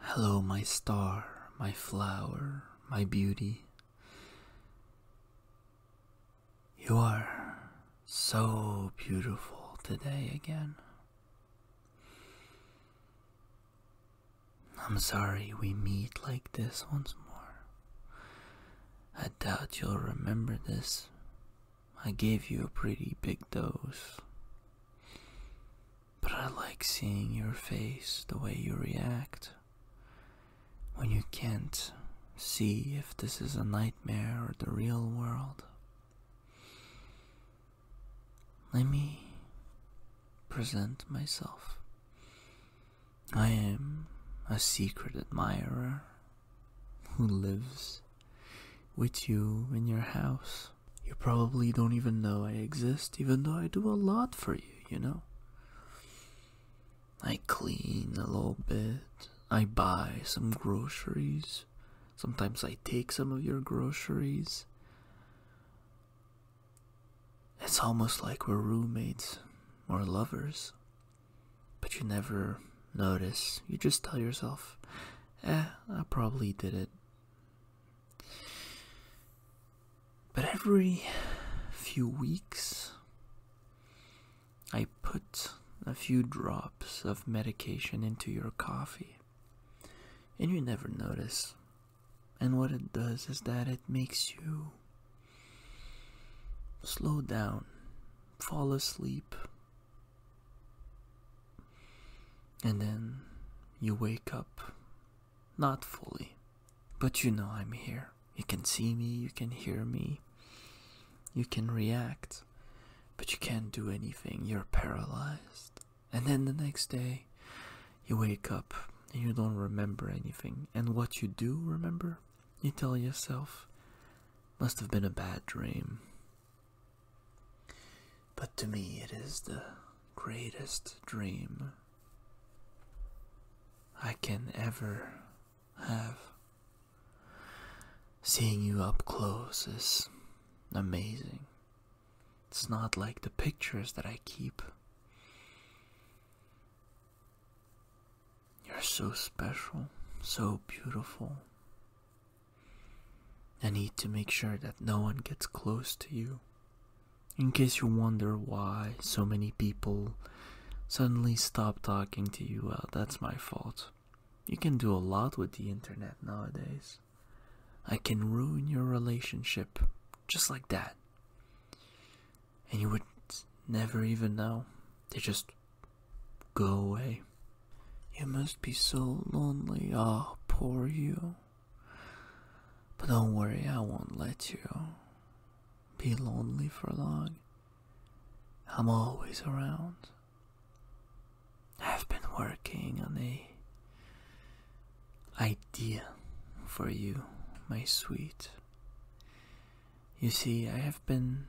Hello, my star, my flower, my beauty. You are so beautiful today again. I'm sorry we meet like this once more. I doubt you'll remember this. I gave you a pretty big dose. But I like seeing your face, the way you react. When you can't see if this is a nightmare or the real world. Let me present myself. I am a secret admirer who lives with you in your house. You probably don't even know I exist, even though I do a lot for you, you know? I clean a little bit, I buy some groceries, sometimes I take some of your groceries. It's almost like we're roommates or lovers, but you never notice. You just tell yourself, eh, I probably did it but every few weeks, I put a few drops of medication into your coffee, and you never notice. And what it does is that it makes you slow down, fall asleep, and then you wake up. Not fully, but you know I'm here. You can see me, you can hear me, you can react, but you can't do anything. You're paralyzed. And then the next day, you wake up and you don't remember anything. And what you do remember, you tell yourself, must have been a bad dream. But to me, it is the greatest dream I can ever have. Seeing you up close is amazing. It's not like the pictures that I keep. You're so special, so beautiful, I need to make sure that no one gets close to you. In case you wonder why so many people suddenly stop talking to you, well, that's my fault. You can do a lot with the internet nowadays. I can ruin your relationship just like that. And you would never even know. They just Go away. You must be so lonely, ah, poor you. But don't worry, I won't let you be lonely for long. I'm always around. I've been working on a idea for you, my sweet. You see, I have been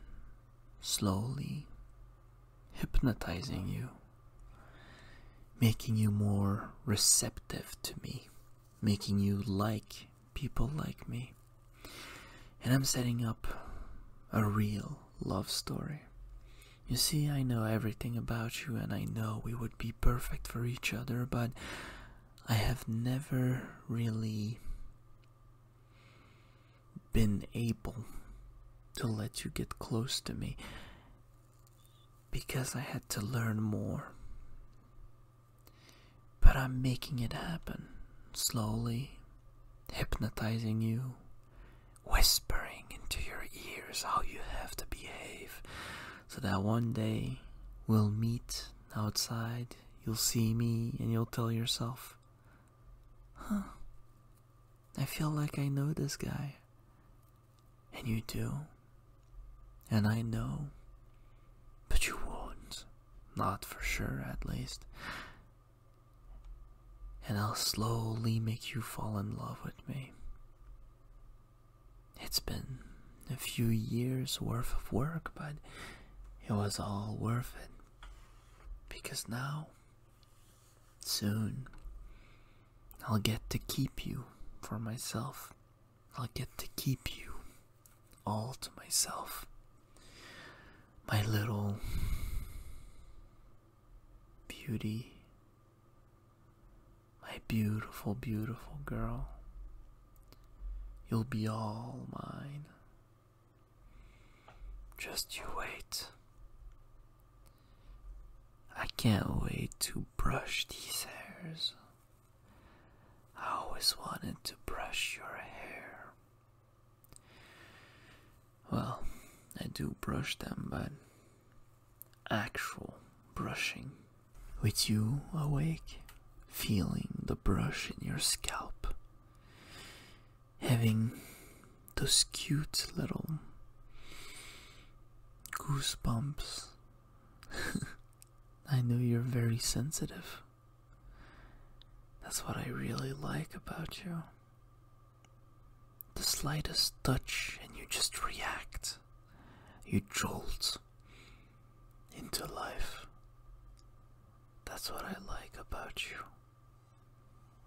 slowly hypnotizing you, making you more receptive to me, making you like people like me. And I'm setting up a real love story. You see, I know everything about you, and I know we would be perfect for each other, but I have never really been able to let you get close to me because I had to learn more. But I'm making it happen slowly, hypnotizing you, whispering into your ears how you have to behave, so that one day we'll meet outside, you'll see me, and you'll tell yourself, Huh. I feel like I know this guy. And you do. And I know. But you won't. Not for sure, at least. And I'll slowly make you fall in love with me. It's been a few years worth of work, but it was all worth it. Because now, soon, I'll get to keep you for myself. I'll get to keep you all to myself. My little beauty. My beautiful, beautiful girl. You'll be all mine. Just you wait. I can't wait to brush these hairs. I always wanted to brush your hair. Well, I do brush them, but actual brushing. With you awake, feeling the brush in your scalp, having those cute little goosebumps. I know you're very sensitive. That's what I really like about you. The slightest touch, and you just react. You jolt into life. That's what I like about you.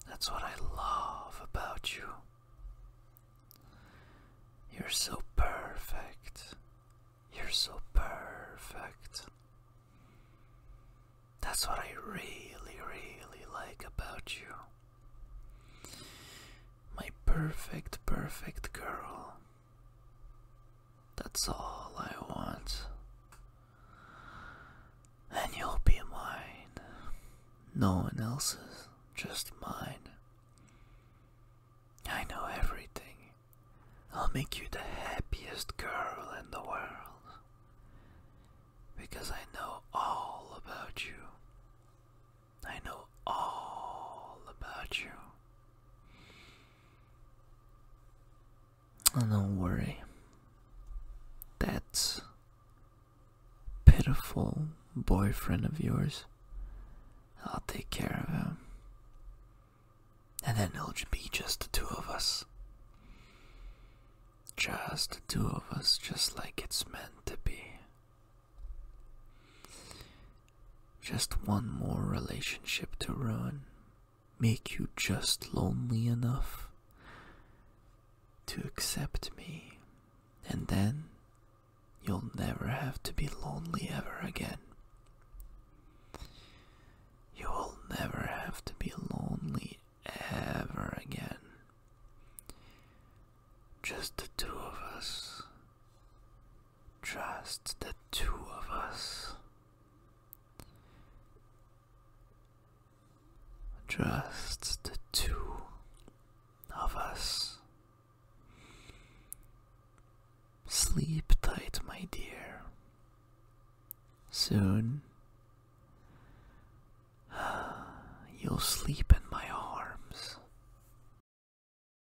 That's what I love about you. You're so perfect. You're so perfect. That's what I really, really like about you. My perfect, perfect girl. That's all I want. And you'll be mine. No one else's, just mine. I know everything. I'll make you the happiest girl in the world. Because I know all about you. I know all about you. Oh, don't worry. That pitiful boyfriend of yours, I'll take care of him. And then it'll be just the two of us. Just the two of us, just like it's meant to be. Just one more relationship to ruin. Make you just lonely enough to accept me. And then you'll never have to be lonely ever again. You will never have to be lonely ever again. Just the two of us. Just the two of us. Just the two of us. Sleep tight, my dear. Soon you'll sleep in my arms.